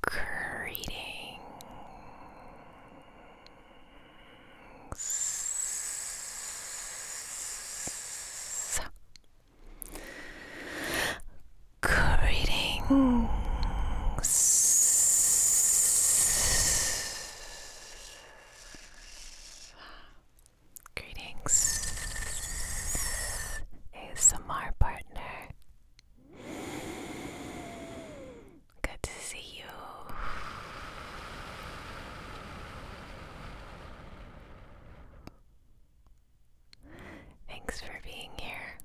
Greetings. Greetings. Greetings. ASMR partner. Good to see you. Thanks for being here.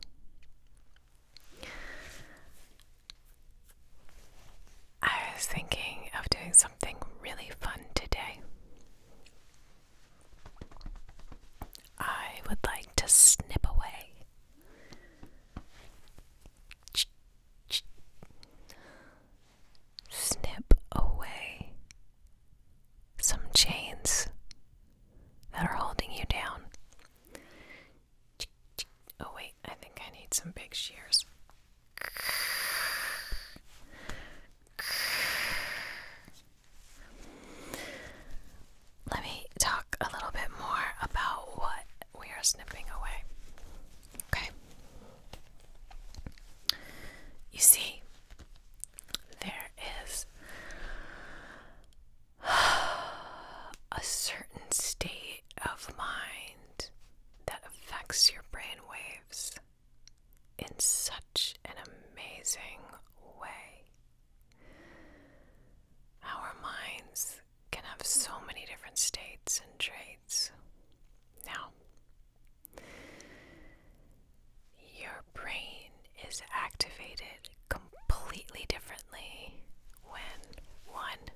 I was thinking of doing something really fun today. I would like to snip away. snip away some chains that are holding you down. oh, wait, I think I need some big shears. Let me talk a little bit more about what we are snipping away. Okay. You see, there is a certain state of mind that affects your brain waves in such an amazing way. Our minds can have so many different states and traits. Now, your brain is activated completely differently when one,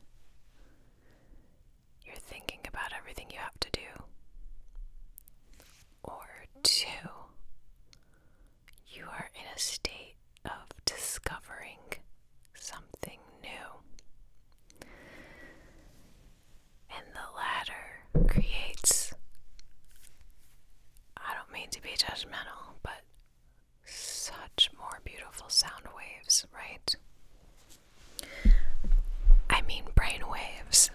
you're thinking about everything you have to do, or two, you are in a state of discovering something new. And the latter creates, I don't mean to be judgmental, but such more beautiful sound waves, right? I mean, brain waves.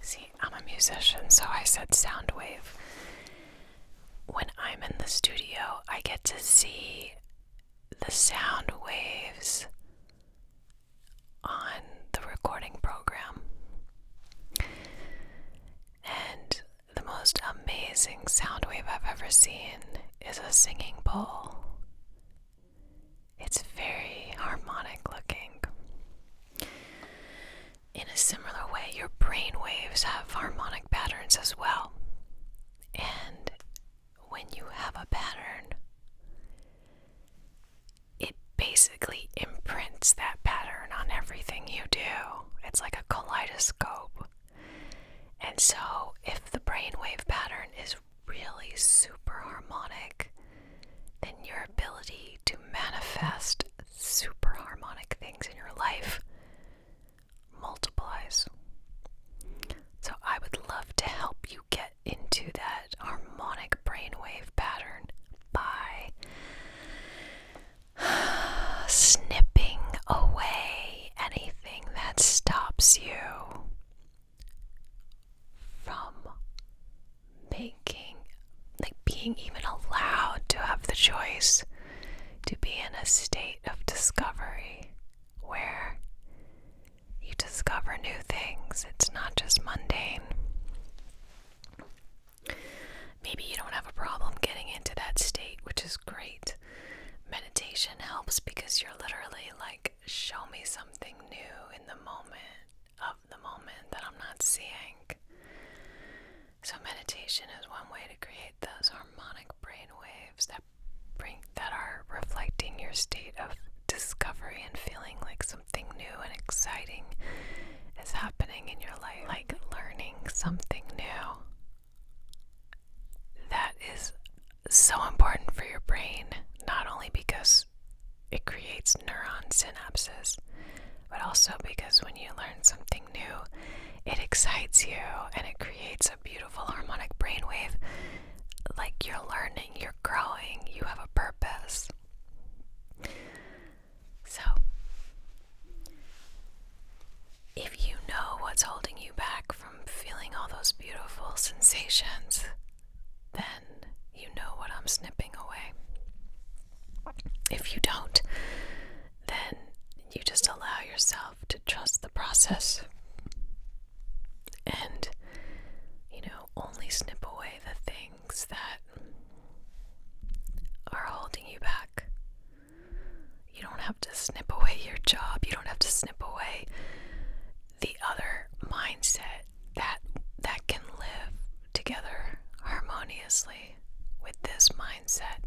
See, I'm a musician, so I said sound wave. When I'm in the studio, I get to see the sound waves on the recording program. And the most amazing sound wave I've ever seen is a singing bowl. It's very harmonic looking. In a similar way, your brain waves have harmonic patterns as well. And when you have a pattern, it basically imprints that pattern on everything you do. It's like a kaleidoscope. And so, if the brainwave pattern is really super harmonic, then your ability to manifest super harmonic things in your life multiplies. So, I would love to help you get into that harmonic brainwave pattern by snipping away anything that stops you from making, like being even allowed to have the choice to be in a state of discovery where you discover new things. It's not just mundane. Maybe you don't have a problem getting into that state, which is great. Meditation helps because you're literally like, show me something new in the moment of the moment that I'm not seeing. So meditation is one way to create those harmonic brain waves that bring that are reflecting your state of discovery and feeling like something new and exciting is happening in your life, like learning something new. That is so important for your brain, not only because it creates neuron synapses, but also because when you learn something new, it excites you and it creates a beautiful harmonic brainwave. Like you're learning, you're growing, you have a purpose. So, if you know what's holding you back from feeling all those beautiful sensations, then you know what I'm snipping away. If you don't, then you just allow yourself to trust the process and, you know, only snip away the things that are holding you back. You don't have to snip away your job, you don't have to snip away the other mindset that that can live together harmoniously with this mindset.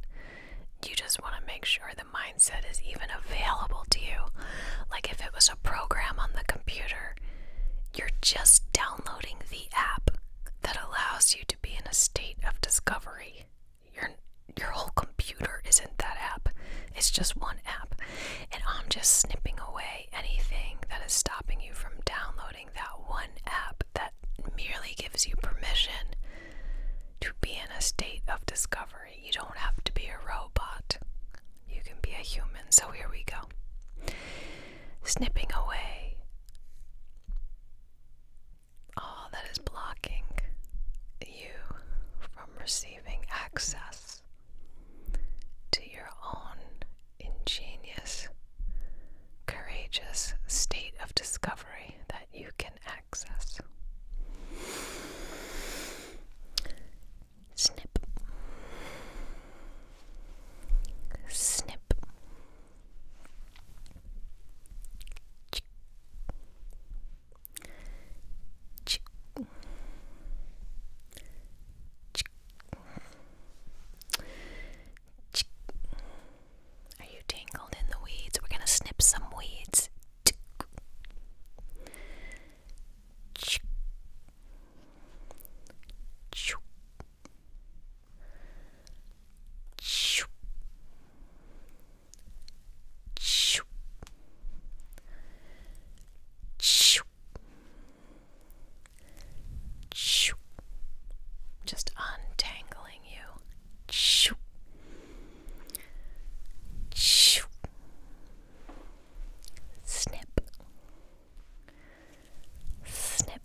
You just want to make sure the mindset is even available to you. Like if it was a program on the computer, you're just downloading the app that allows you to be in a state of discovery. Your your whole computer isn't that app. It's just one app. And I'm just snipping away anything that is stopping you from downloading that one app that merely gives you permission to be in a state of discovery. You don't have to be a robot, you can be a human. So here we go. Snipping away all that is blocking you from receiving access to your own ingenious, courageous state of discovery that you can access. Snip. Snip. Ch Ch Ch are you tangled in the weeds? We're gonna snip some weeds. Just untangling you. Snip. Snip. Snip.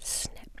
Snip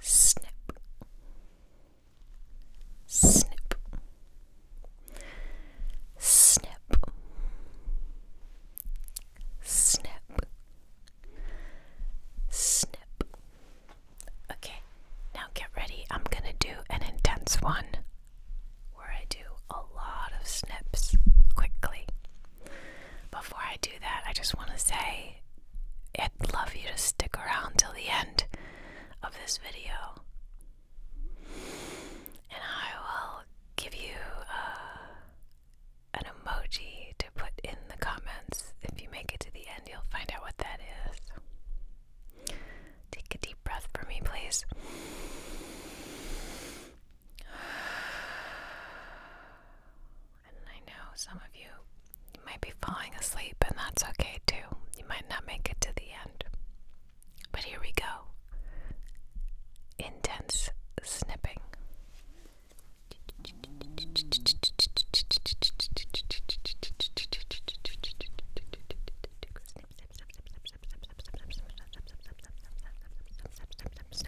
Snip. Snip. Snip. Snip. Snip. Okay, now get ready. I'm gonna do an intense one where I do a lot of snips quickly. Before I do that, I just want to say I'd love you to stick around till the end of this video. And I will give you uh, an emoji to put in the comments. If you make it to the end, you'll find out what that is. Take a deep breath for me, please. And I know some of you, might be falling asleep, and that's okay too. You might not make it to the end. But here we go intense snipping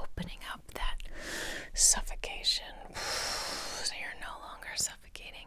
Opening up that suffocation so you're no longer suffocating.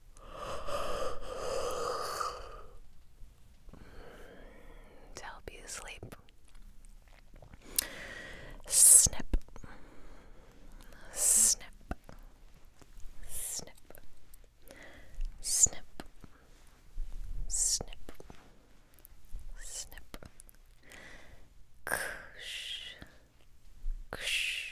to help you sleep. Snip, snip, snip, snip, snip, snip, kush, kush,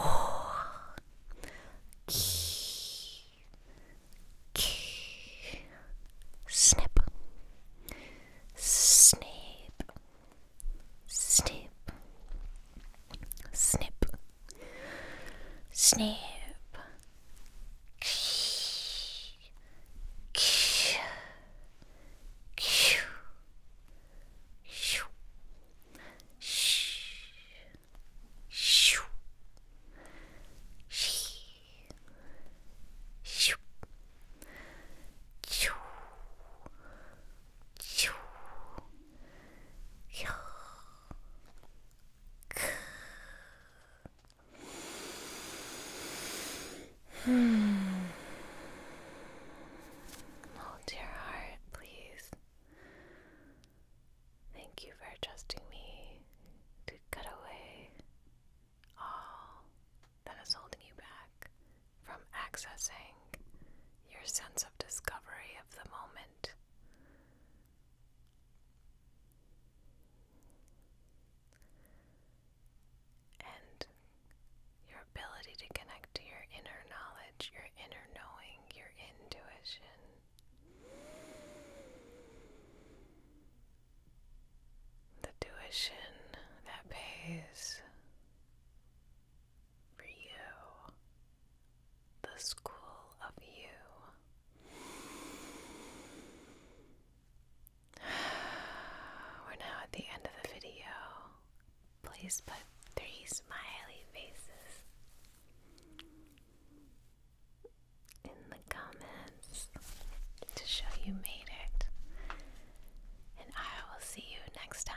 Oh, key, key, snip, snip, snip, snip, snip, key, key, key, Shh. Shoo. She. Shoo. Choo. Choo. Yo. Hmm. Oh, dear heart, please. Thank you for trusting me to cut away all that is holding you back from accessing your sense of discovery of the moment. And your ability to connect to your inner knowledge, your inner knowing, your intuition. The tuition that pays for you, the school of you. We're now at the end of the video. Please put three smiley faces in the comments to show you made it. And I will see you next time.